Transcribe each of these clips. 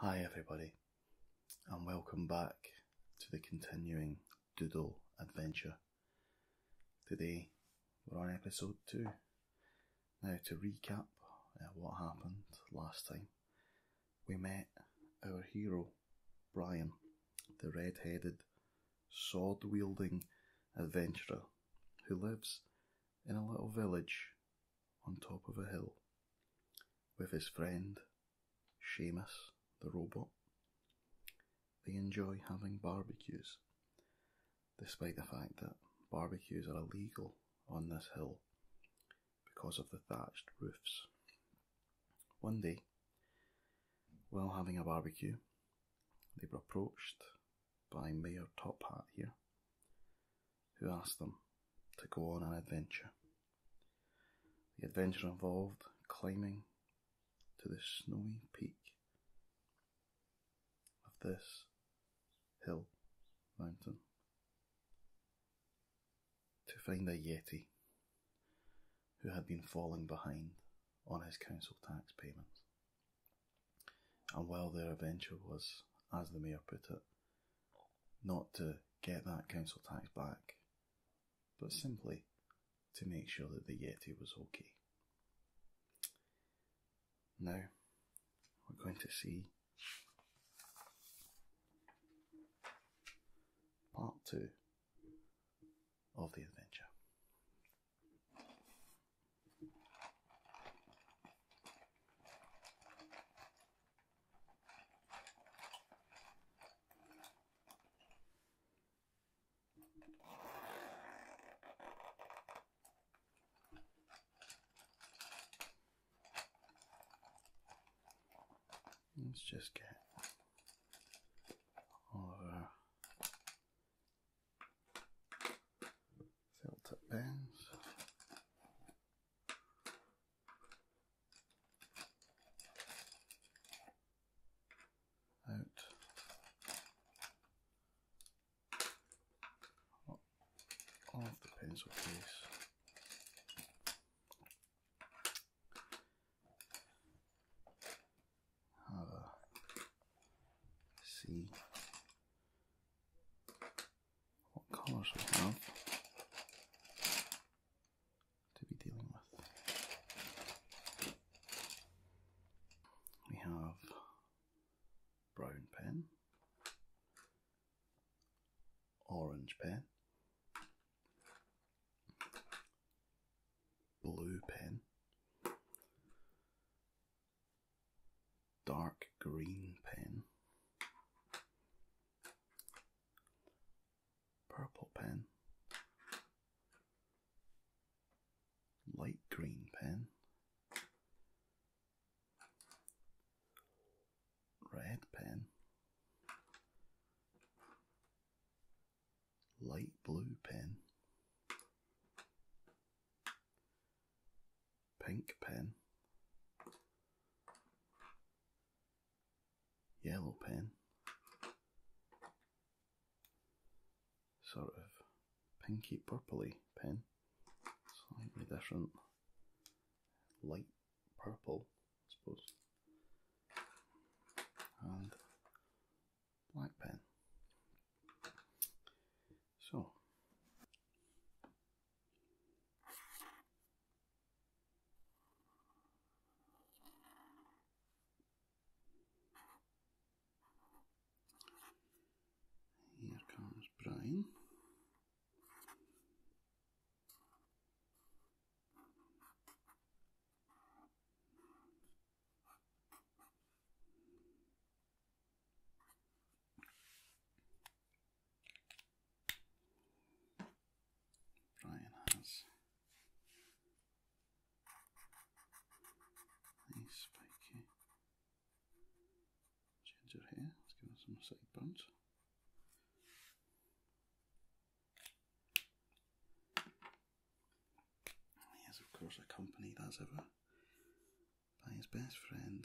Hi, everybody, and welcome back to the continuing doodle adventure. Today we're on episode 2. Now, to recap uh, what happened last time, we met our hero, Brian, the red headed, sword wielding adventurer who lives in a little village on top of a hill with his friend Seamus the robot. They enjoy having barbecues, despite the fact that barbecues are illegal on this hill because of the thatched roofs. One day, while having a barbecue, they were approached by Mayor Top Hat here, who asked them to go on an adventure. The adventure involved climbing to the snowy peak of this hill mountain to find a Yeti who had been falling behind on his council tax payments. And while their adventure was, as the mayor put it, not to get that council tax back, but simply to make sure that the Yeti was okay. Now, we're going to see part two of the adventure. Let's just get all of our Filter up Out. Oh, off the pencil case. Have a C what colours we have to be dealing with. We have brown pen, orange pen, blue pen, dark green pen, purple pen, light green pen, red pen, light blue pen pink pen, yellow pen, sort of pinky purpley pen, slightly different, light purple, I suppose, and black pen. So. Here comes Brian. Brian has nice spiky ginger hair. Let's give her some sideburns. Yes, of course, a company that's ever by his best friend.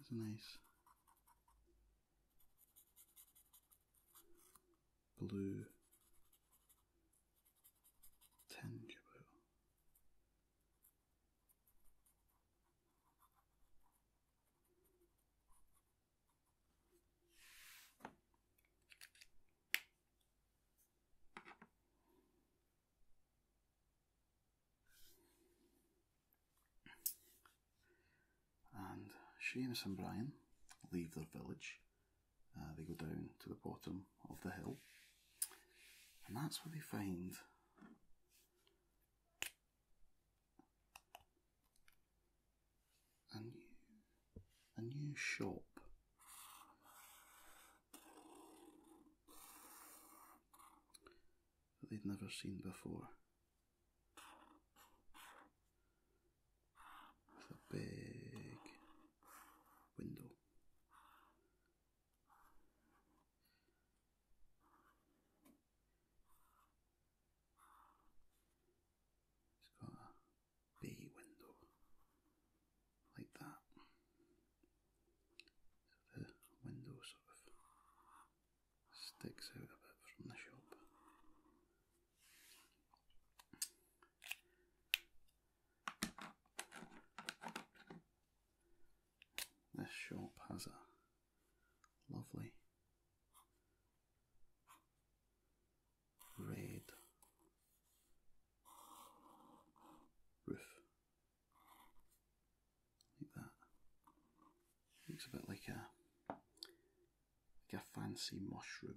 It's a nice blue tinge and Seamus and Brian leave their village. Uh, they go down to the bottom of the hill, and that's where they find a new, a new shop they'd never seen before. With a big window. It's got a bay window like that the window sort of sticks out a bit from the shop. This shop has a lovely red roof like that. Looks a bit like a like a fancy mushroom.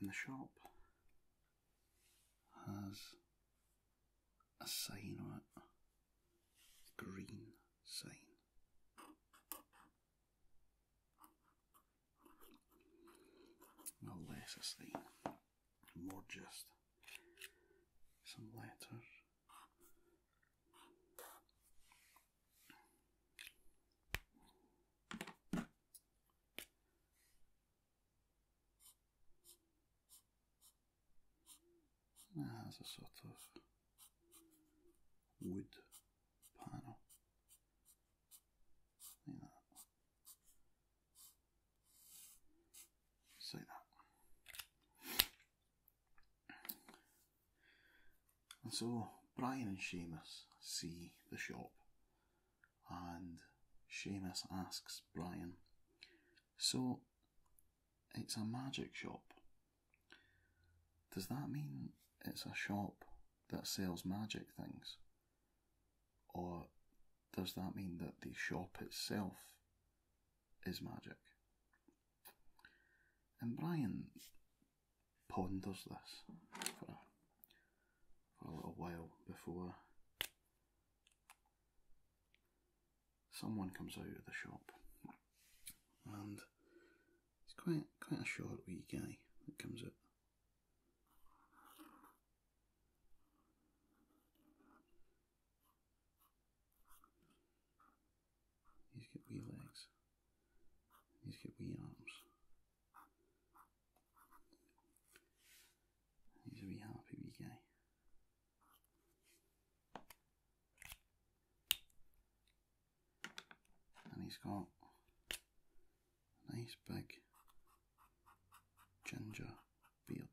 And the shop has a sign on it, green sign. No less a thing, More just some letters. It a sort of wood panel like that. And so Brian and Seamus see the shop, and Seamus asks Brian, So it's a magic shop. Does that mean it's a shop that sells magic things? Or does that mean that the shop itself is magic? And Brian ponders this for a, for a little while before someone comes out of the shop. And it's quite quite a short wee guy that comes up. He's got wee legs. He's got wee arms. He's a wee happy wee guy and he's got a nice big ginger beard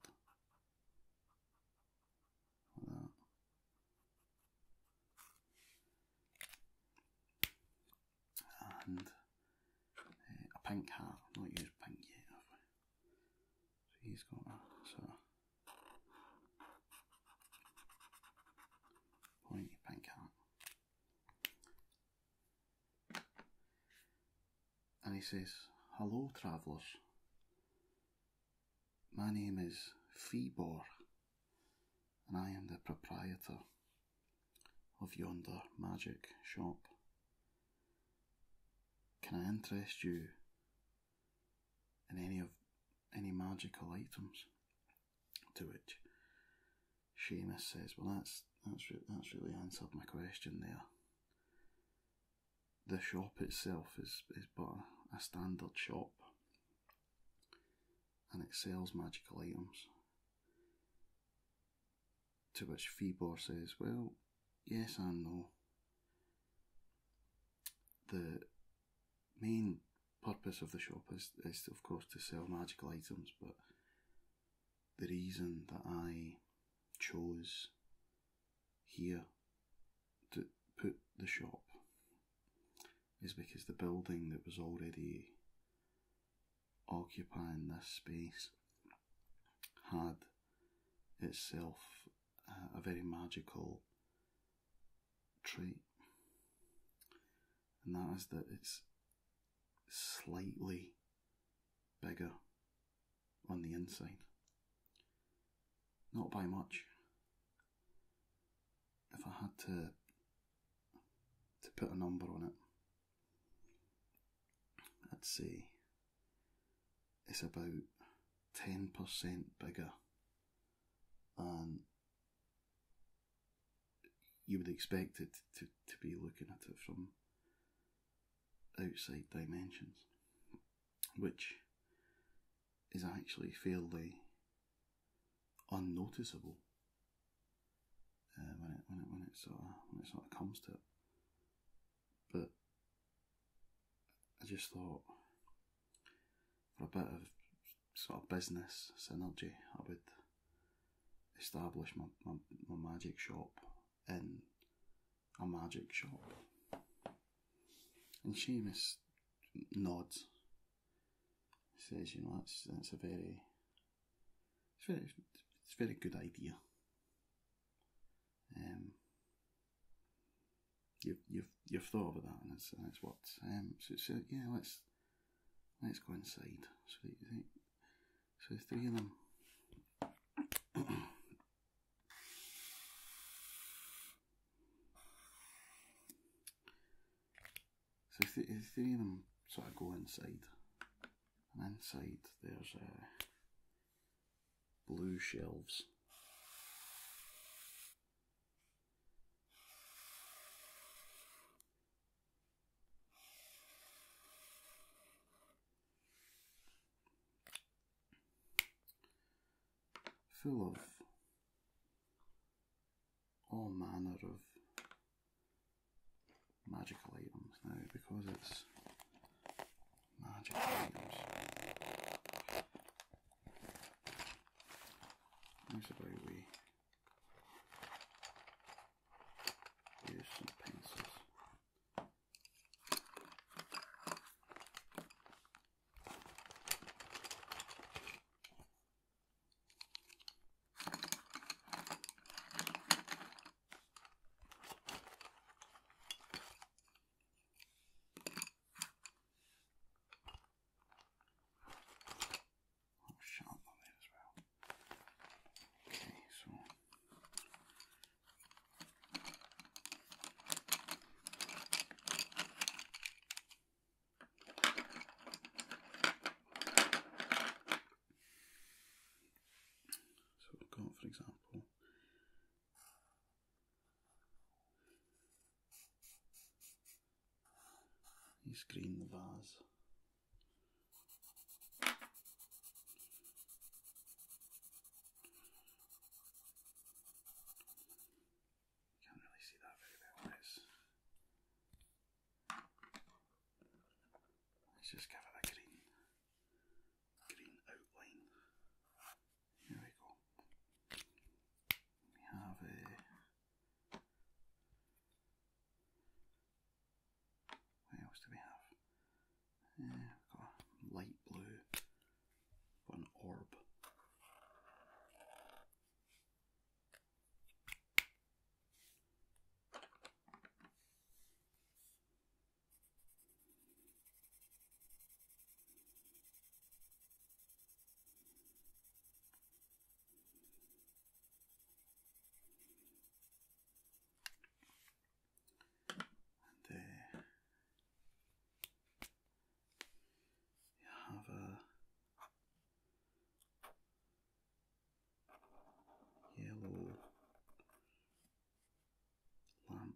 And eh, a pink hat. not used pink yet, So he's got a sort of pink hat. And he says, Hello, travellers. My name is Feebor, and I am the proprietor of yonder magic shop. Can I interest you in any of any magical items? To which Seamus says, "Well, that's that's that's really answered my question there. The shop itself is is but a, standard shop, and it sells magical items." To which Phoebor says, "Well, yes and no. The main purpose of the shop is, is of course to sell magical items, but the reason that I chose here to put the shop is because the building that was already occupying this space had itself a very magical trait, and that is that it's slightly bigger on the inside. Not by much. If I had to to put a number on it, let's see, it's about ten percent bigger than you would expect it to, to be looking at it from outside dimensions, which is actually fairly unnoticeable uh, when it when it when it sort of when it sort of comes to it. But I just thought for a bit of sort of business synergy, I would establish my, my, magic shop in a magic shop. And Seamus nods. He says, you know, that's that's a very it's very it's a very good idea. Um you've you've you've thought about that and that's that's what um so, so yeah, let's Let's go inside. So, so three of them. so three of them sort of go inside, and inside there's uh, blue shelves full of all manner of magical items now because it's magic items Usually we use some pencils. Oh, sharp on there as well. Okay, so. So we've got, for example, you screen the vase. Can't really see that very well. let's just give it a green, green outline. Here we go. We have a what else do we have? Uh, we've got light blue, but an orb. And there uh, you have a yellow lamp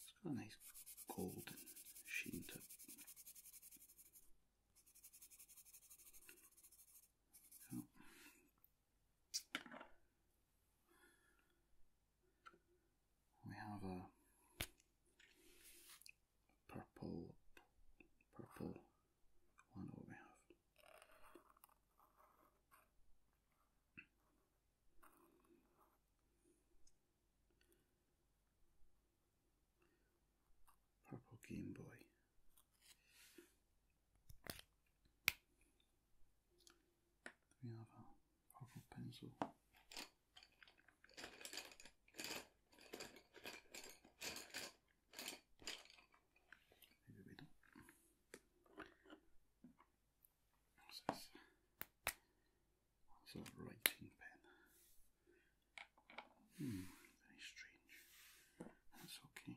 It's got a nice golden sheen to it. Oh. We have a purple, purple one. What we have. Purple Game Boy. We have a purple pencil. Maybe we don't. It's a writing pen. Hmm, very strange. That's okay.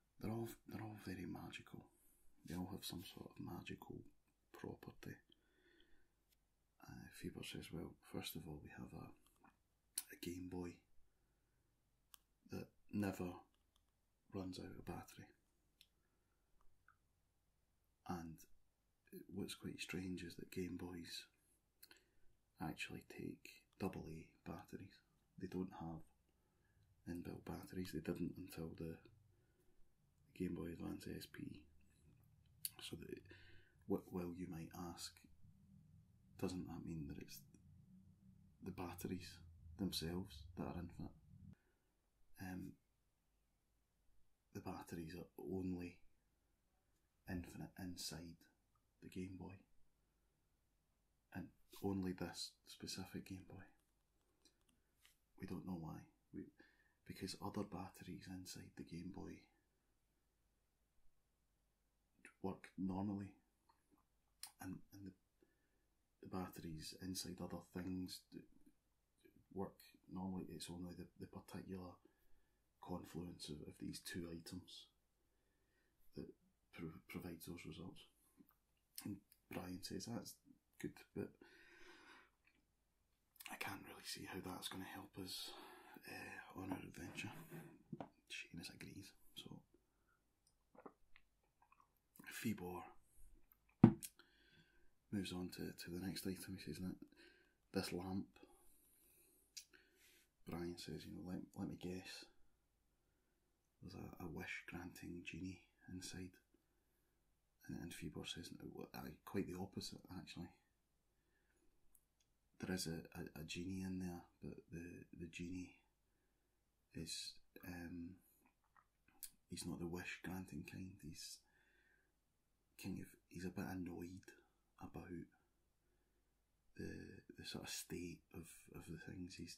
they're all they're all very magical. They all have some sort of magical property. Uh, says, well, first of all, we have a, a Game Boy that never runs out of battery. And what's quite strange is that Game Boys actually take double A batteries. They don't have and built batteries. They didn't until the Game Boy Advance SP. So that, well, you might ask, doesn't that mean that it's the batteries themselves that are infinite? Um, the batteries are only infinite inside the Game Boy and only this specific Game Boy. We don't know why. We, because other batteries inside the Game Boy work normally, and, and the, batteries inside other things work normally. It's only the, the particular confluence of, these two items that provides those results. Brian says, that's good, but I can't really see how that's going to help us uh, on our adventure. Seamus agrees, so. Fibo moves on to, to the next item. He says, This lamp. Brian says, You know, let, let me guess there's a, a wish granting genie inside. And, and Feebor says, quite the opposite actually. There is a, a, a, genie in there, but the, the genie is, um, he's not the wish granting kind, he's kind of, he's a bit annoyed about the the sort of state of, of the things. He's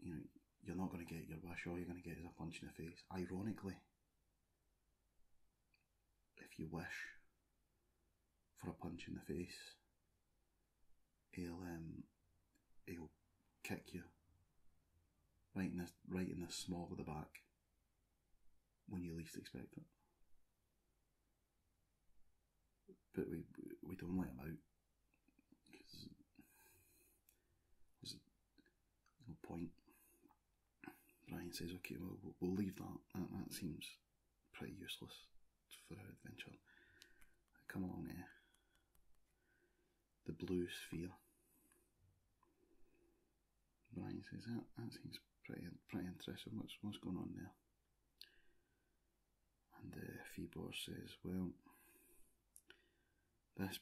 you know, you're not going to get your wish. All you're going to get is a punch in the face. Ironically, if you wish for a punch in the face, he'll um, he'll kick you right in the right in the small of the back when you least expect it. But we we don't let him out there's no point. Brian says, okay, well, we'll leave that. That, seems pretty useless for our adventure. come along there. Eh? The blue sphere. Brian says, that, that seems pretty, pretty interesting. What's, what's going on there? And uh, Phoebor says, well, this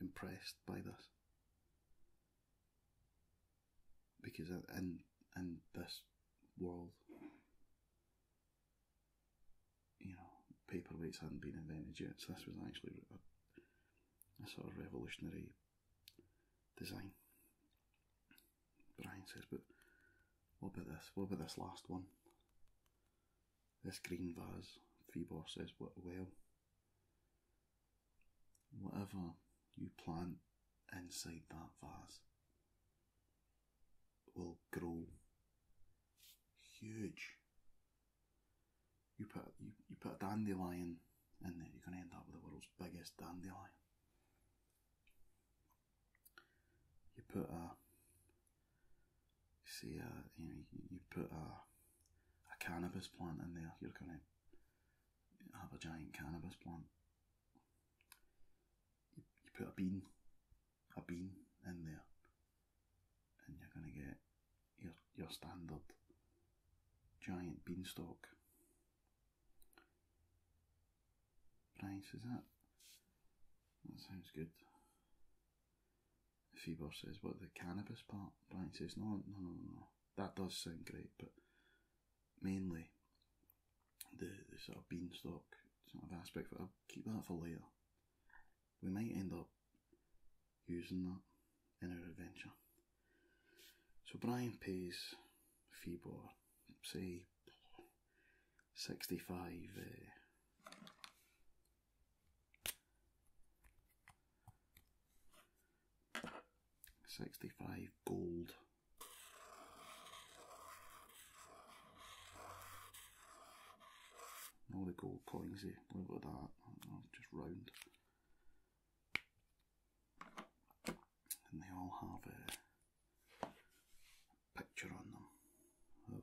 impressed by this because in in this world, you know, paperweights hadn't been invented yet, so this was actually a, a sort of revolutionary design. Brian says, but what about this? What about this last one? This green vase, Vibor says, well, whatever you plant inside that vase will grow huge. You put you, you put a dandelion in there, you're gonna end up with the world's biggest dandelion. You put a you see, uh, you you put a, a cannabis plant in there, you're going to have a giant cannabis plant. You, you put a bean, a bean in there, and you're going to get your your standard giant beanstalk. Price is that? That sounds good. Fever says, what, the cannabis part? Brian says, no, no, no, no. no. That does sound great, but mainly the, the sort of beanstalk sort of aspect, but I'll keep that for later. We might end up using that in our adventure. So Brian pays Fibor, say, 65 uh, 65 gold. All the gold coins here, look at that, just round. And they all have a picture on them of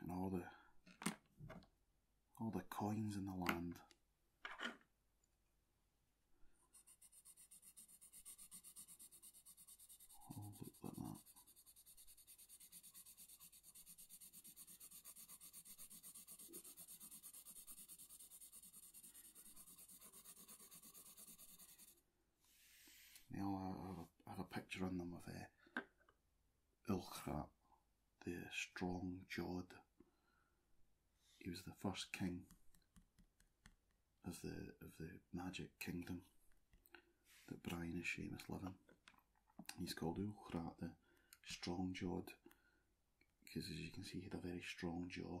and all the all the coins in the land. All look like that. You know, I, have a picture on them of uh, eh, Ulchrat, the strong jawed. He was the first king of the of the magic kingdom that Brian is Seamus living. He's called Ulchrat the strong jawed because as you can see he had a very strong jaw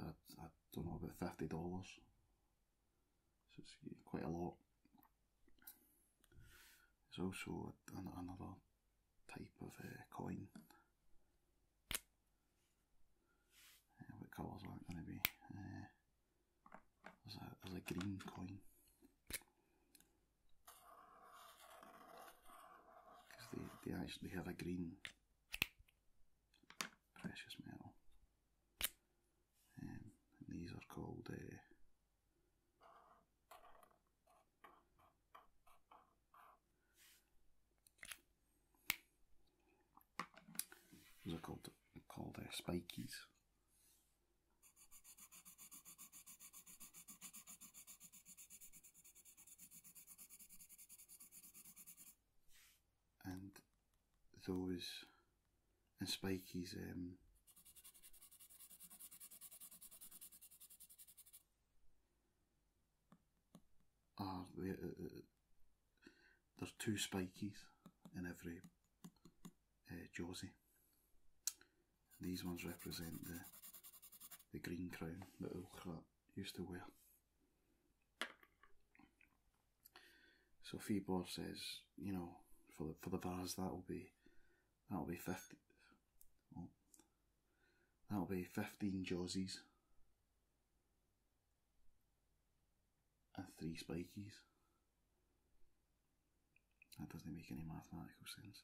I, I don't know, about $50. it's quite a lot. There's also another type of uh, coin. Uh, colours are it going to be? Uh, there's, a, there's a green coin. Because they, they actually have a green precious metal. Um, and these are called uh, those are called called uh, spikies and those and spikies um, are ah, there, uh, uh, there's two spikies in every uh, These ones represent the the green crown, the owl used to wear. So Bor says, you know, for the for the bars that'll be that'll be fifty oh, that'll be fifteen jawsies and three spikies. That doesn't make any mathematical sense.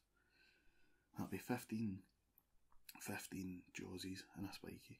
That'll be 15, 15 jawsies and a spiky.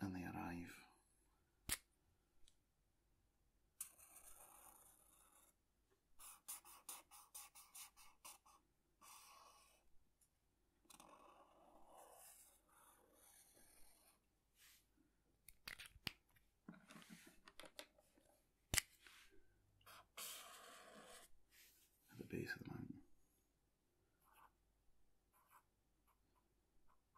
and they arrive. at the base of the mountain.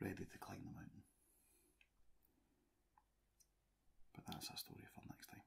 Ready to climb the mountain. But that's a story for next time.